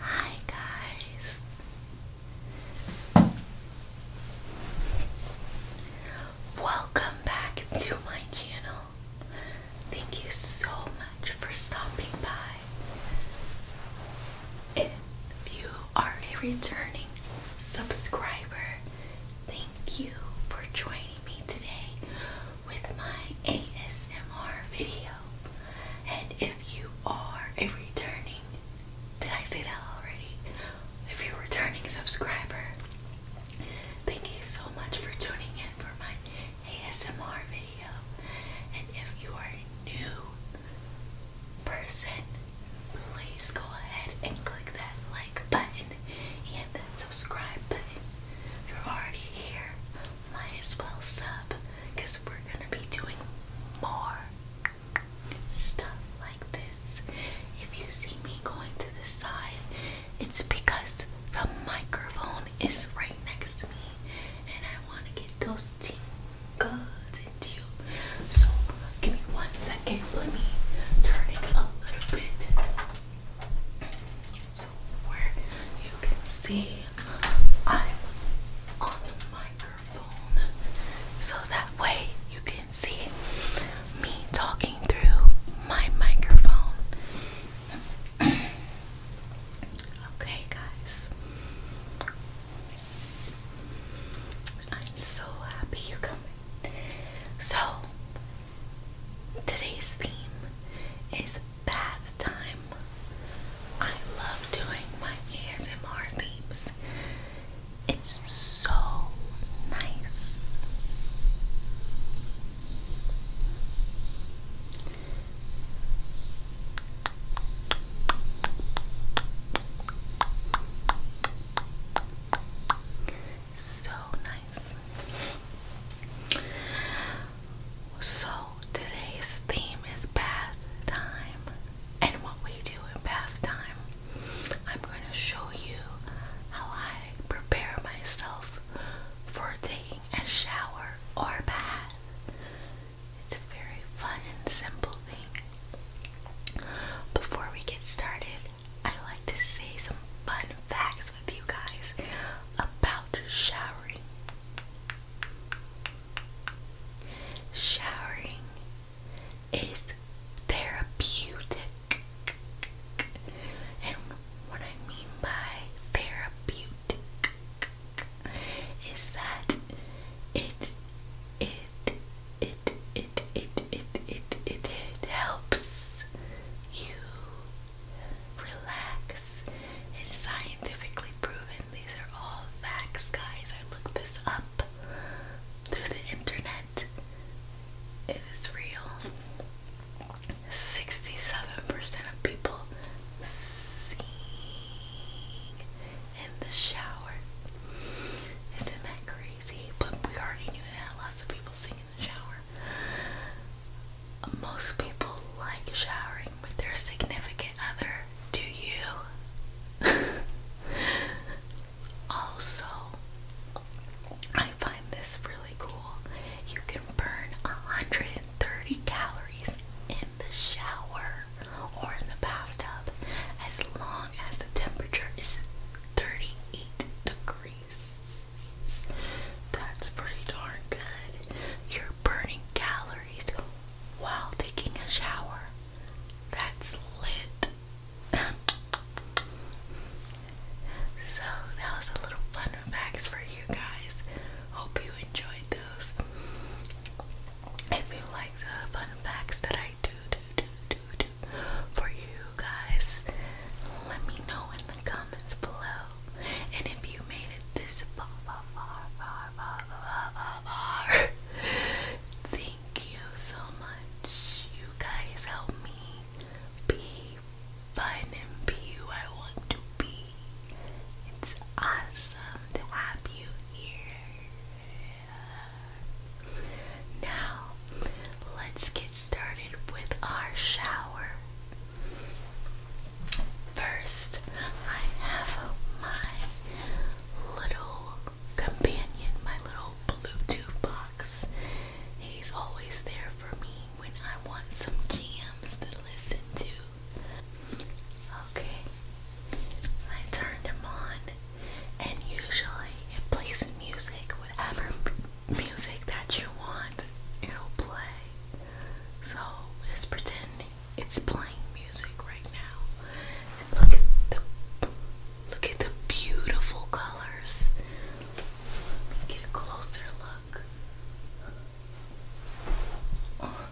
Hi guys. Welcome back to my channel. Thank you so much for stopping by. If you are a returning subscriber, thank you for joining me today with my ASMR video. And if you are a returning, did I say that already? If you're a returning subscriber, thank you so much for tuning in for my ASMR video. And if you are a new person, please go ahead and click that like button and the subscribe button. You're already here. Might as well sub we're going to be doing more stuff like this. If you see me going to the side, it's because the microphone is right next to me and I want to get those tingles into you. So give me one second. Let me turn it a little bit. So where you can see I'm on the microphone so that way you can see me talking through my microphone. okay guys. I'm so happy you're coming. So Today's theme is bath time. I love doing my ASMR themes. It's so nice so nice. So today's theme is bath time and what we do in bath time. I'm going to show you how I prepare myself for taking a shower or bath. It's a very fun and simple thing. Before we get started, I like to say some fun facts with you guys about showering. Showering is therapeutic. And what I mean by therapeutic is that it it it it it it it it, it helps you relax. It's scientifically proven. These are all facts, guys. I looked this up through the internet. It is real. 67% of people sing in the shower. Isn't that crazy? But we already knew that lots of people sing shower. Most people like showering with their significant other. Do you? also, I find this really cool. You can burn 130 calories in the shower or in the bathtub as long as the temperature is 38 degrees. That's pretty darn good. You're burning calories while taking a shower. That's lit. so that was a little fun facts for you guys. Hope you enjoyed those. If you like the fun facts that I do, do, do, do, do, for you guys, let me know in the comments below. And if you made it this far, far, far, far, far, far, far, far thank you so much. You guys help me be fun and be who I want to be. It's awesome to have you here. Now, let's get started with our shower. First, I have my little companion, my little Bluetooth box. He's always there for me when I want some jams to listen to. Okay, I turned him on, and usually it plays music, whatever music that you want, it'll play. So just pretend it's playing music right now. And look at the look at the beautiful colors. Let me get a closer look. Oh,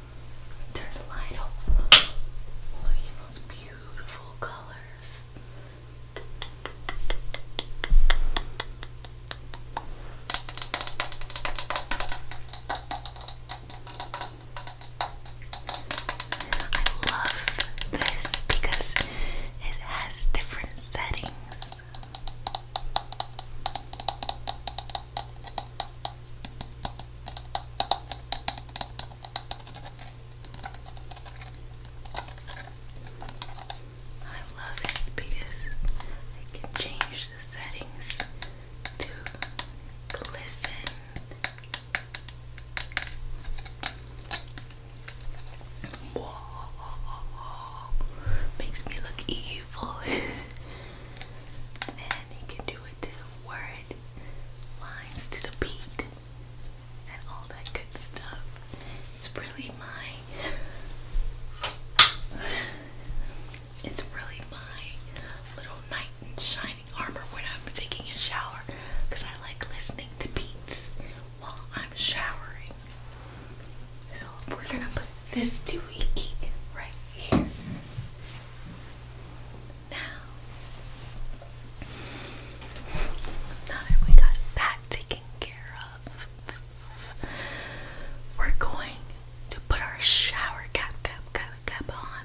turn the light off. Look at those beautiful colors. I love this because it has different settings. I love it because I can change the settings to glisten. Whoa, makes me look evil. and you can do it to the word, lines to the beat and all that good stuff. It's really my it's really my little knight in shining armor when I'm taking a shower because I like listening to beats while I'm showering. So we're gonna put this doohickey right here. Now, now we got that together, we're going to put our shower cap, cap, cap, cap on.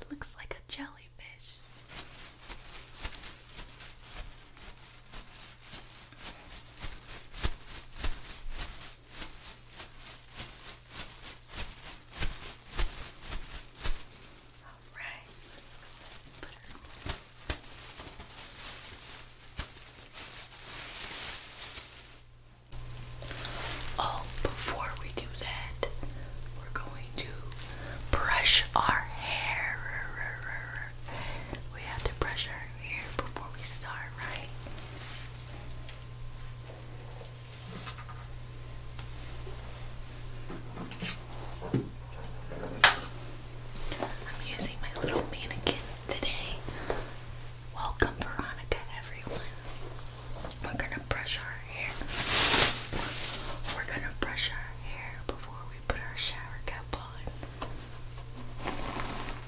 It looks like a jellyfish. Alright, Oh, before we do that, we're going to brush our hair. We have to brush our hair before we start, right? I'm using my little mannequin today. Welcome, Veronica, everyone. We're gonna brush our hair. We're gonna brush our hair before we put our shower cap on.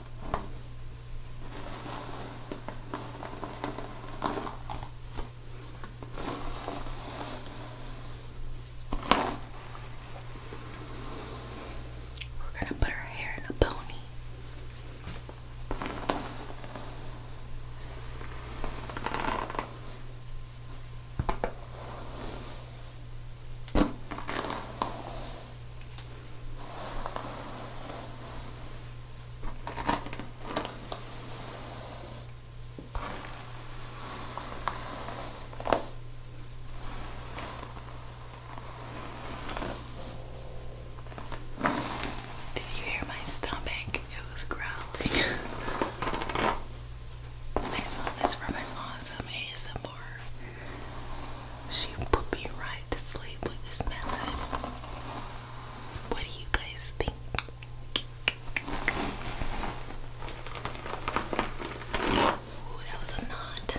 We're going to put her hair in a pony. Did you hear my stomach? It was growling. I saw this from an awesome ASMR she put me right to sleep with this melon. What do you guys think? Ooh, that was a knot.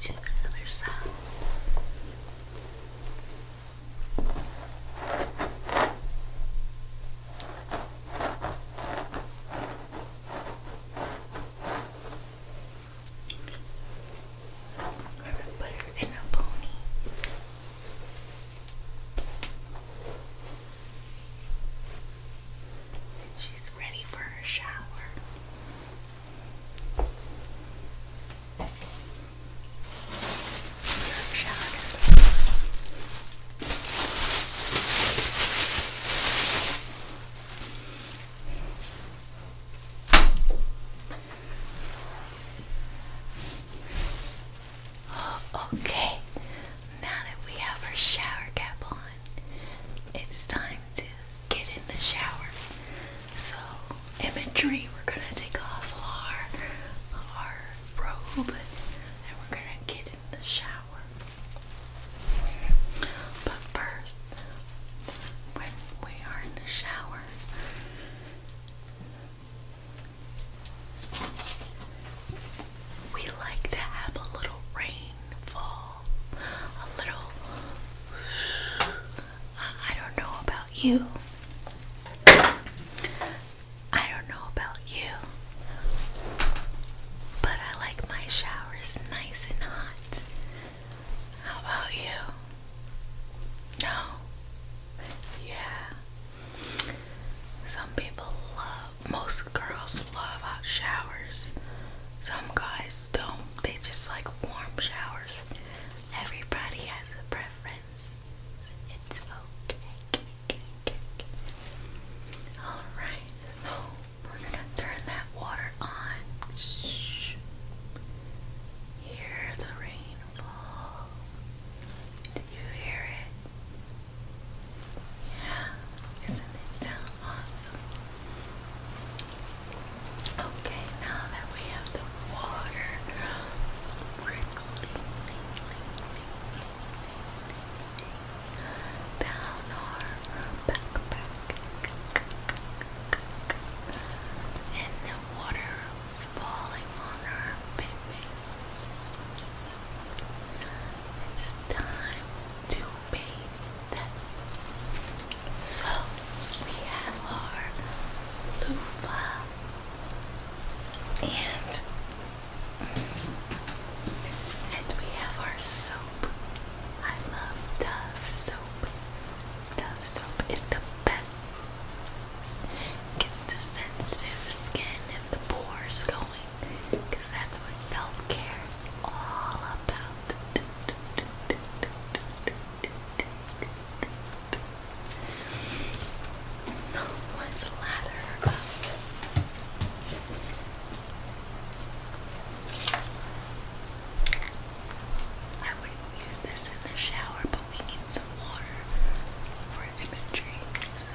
to the other side. i put her in a pony. She's ready for her shower. Shower Okay, now that we have our shower cap on, it's time to get in the shower. So, imagery, we're gonna take off our, our robe and we're gonna get in the shower. But first, when we are in the shower, we like to have a little rain a little. I don't know about you. I don't know about you. But I like my showers nice and hot. How about you? No? Yeah. Some people love most girls love hot showers. Some guys don't. They just like warm showers. Everybody has a preference. It's okay. Alright. Oh, we're gonna turn that water on. Shh. Hear the rain Do you hear it? Yeah, isn't it sound awesome. Okay, now that we have the water, we down our backpack. And the water falling on our face. It's time to bathe. So we have our loofah and and we have our soap. I love Dove soap. Dove soap is the best. Gets the sensitive skin and the pores going. Because that's what self care is all about. So let's up. I wouldn't use this in the shower, but we need some water for imagery. So.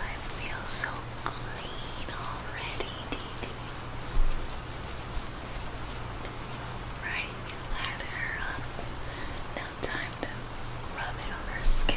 I feel so clean already, Dee Right, you lather time to rub it on her skin.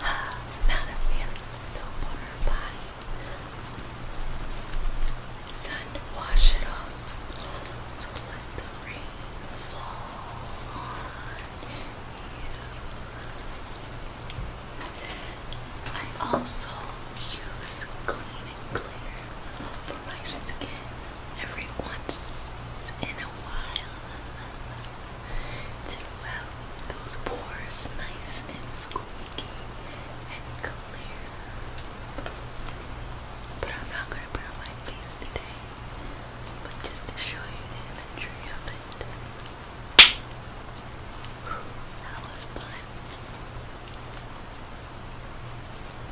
Amount of family soap on her body. Sun wash it off. To let the rain fall on you. I also use clean and clear for my skin every once in a while to have those pores nice and squeaky and clear. But I'm not going to put on my face today, but just to show you the imagery of it. That was fun.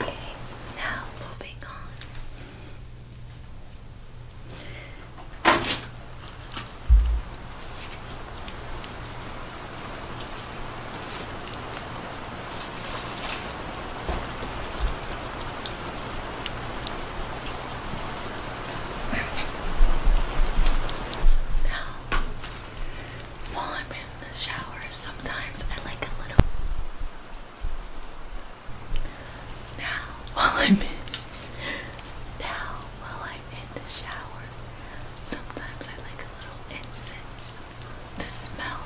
Okay, now moving on. now, while in the shower, sometimes I like a little. Now, while I'm in, now while I'm in the shower, sometimes I like a little incense to smell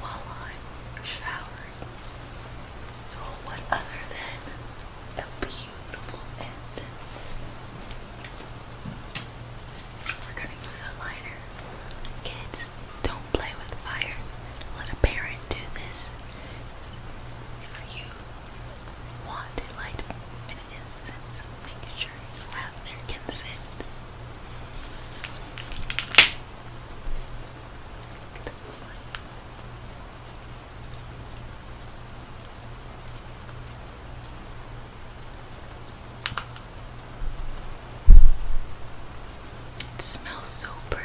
while I'm showering. So, what other than a beautiful incense? We're gonna use a lighter. Kids, don't play with fire. Let a parent do this. If you want to light an incense, make sure you have their consent. It smells so pretty.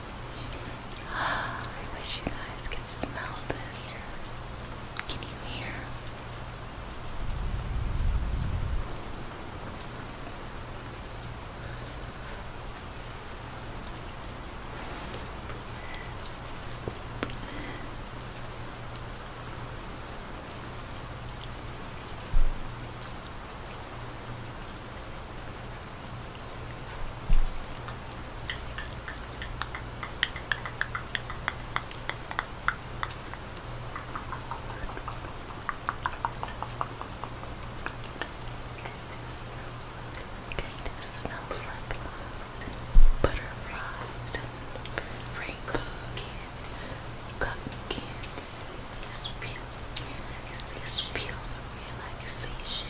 I wish you guys could smell this. Can you hear? Kind of smells like butterflies and rainbows and cotton candy. This feel, this feel of relaxation.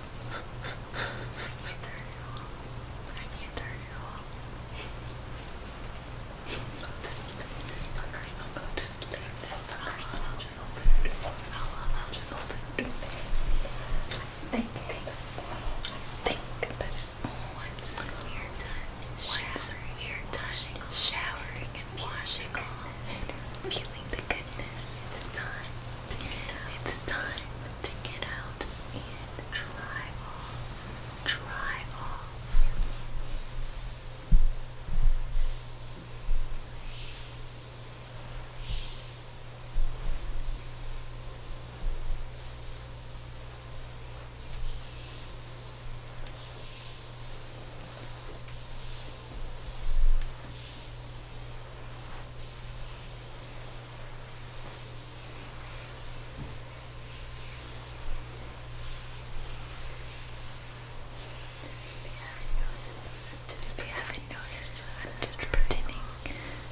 I can't turn it off. I can't turn it off. this sucker's on. Go I'll just hold it. I'll, I'll just hold it. I think, I think once we are done, once we are done showering and washing off feeling the goodness, it's time it's time to get out and dry off. Dry off. Just if you haven't noticed, I'm just pretending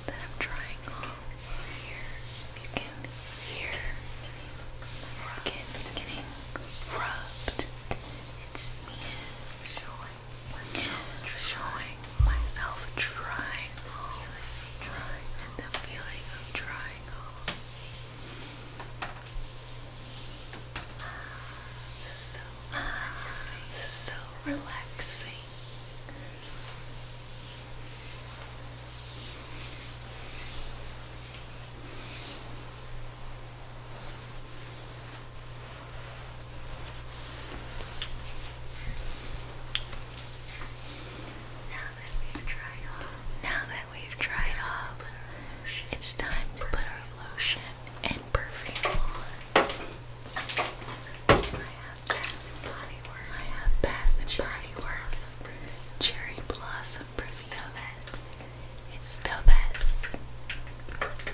that I'm trying on here. You can hear my skin getting rubbed. It's me. Sure showing myself drying off, drying, and the feeling of drying off. So nice, so relaxing. Now that we've dried off, now that we've dried off, it's time to put our lotion and perfume on. I have Bath Body Works. I have Bath Body Works Cherry Blossom Perfume. It's the best.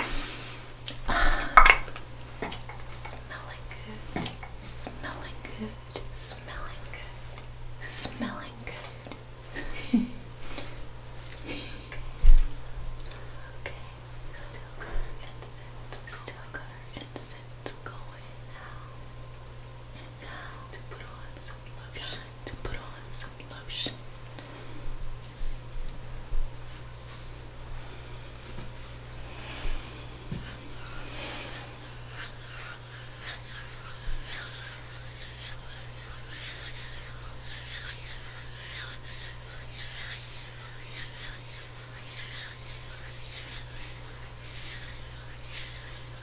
Smelling good, smelling good, smelling good, smelling good. okay, still got our incense, still got our incense going now. Time to put on some lotion. to put on some lotion.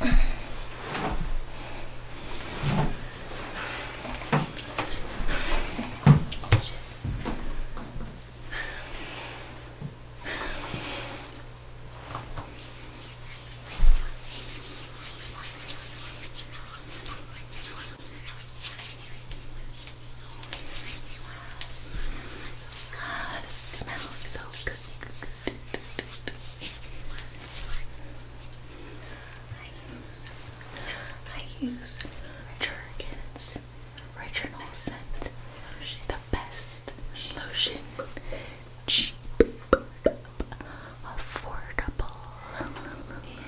Ah, it smells so good. I use Jergens Original Scent, the best lotion, cheap, affordable, and,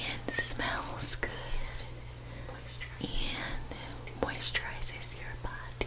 and smells good, and moisturizes your body.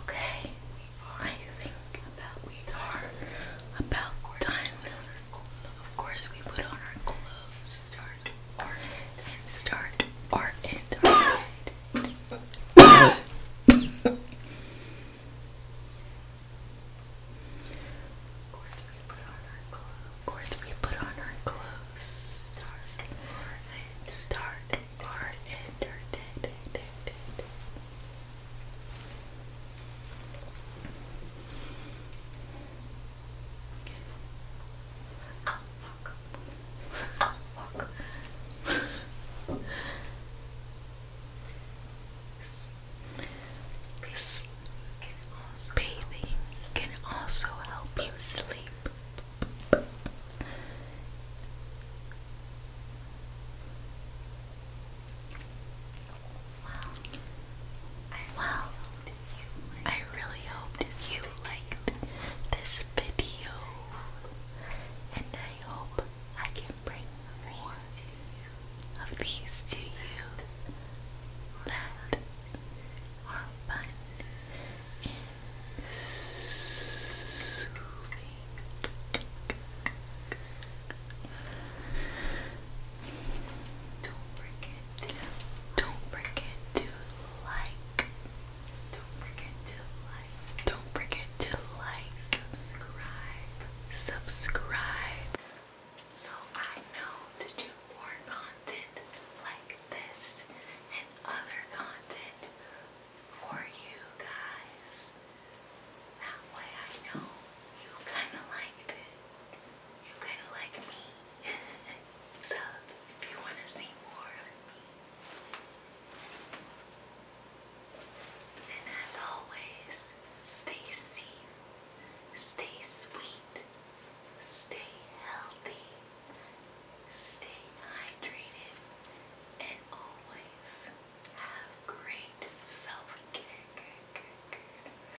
Okay, I think about we are about time of course, we put on our clothes. Start art and start art and art. Of course we put on our clothes. Of course we put on our clothes. Start our and start our entertainment. Oh, fuck. Bathing can also help you sleep. Well, well, I really hope that you liked this video, and I hope I can bring more of these to you that are fun and soothing. Don't forget to to like. Don't forget to like. Don't forget to like. Subscribe. Subscribe. So I know to do more content like this and other content for you guys. That way I know you kind of liked it you kind of like me. so if you want to see more of me. And as always, stay safe, stay sweet, stay healthy, stay hydrated, and always have great self-care.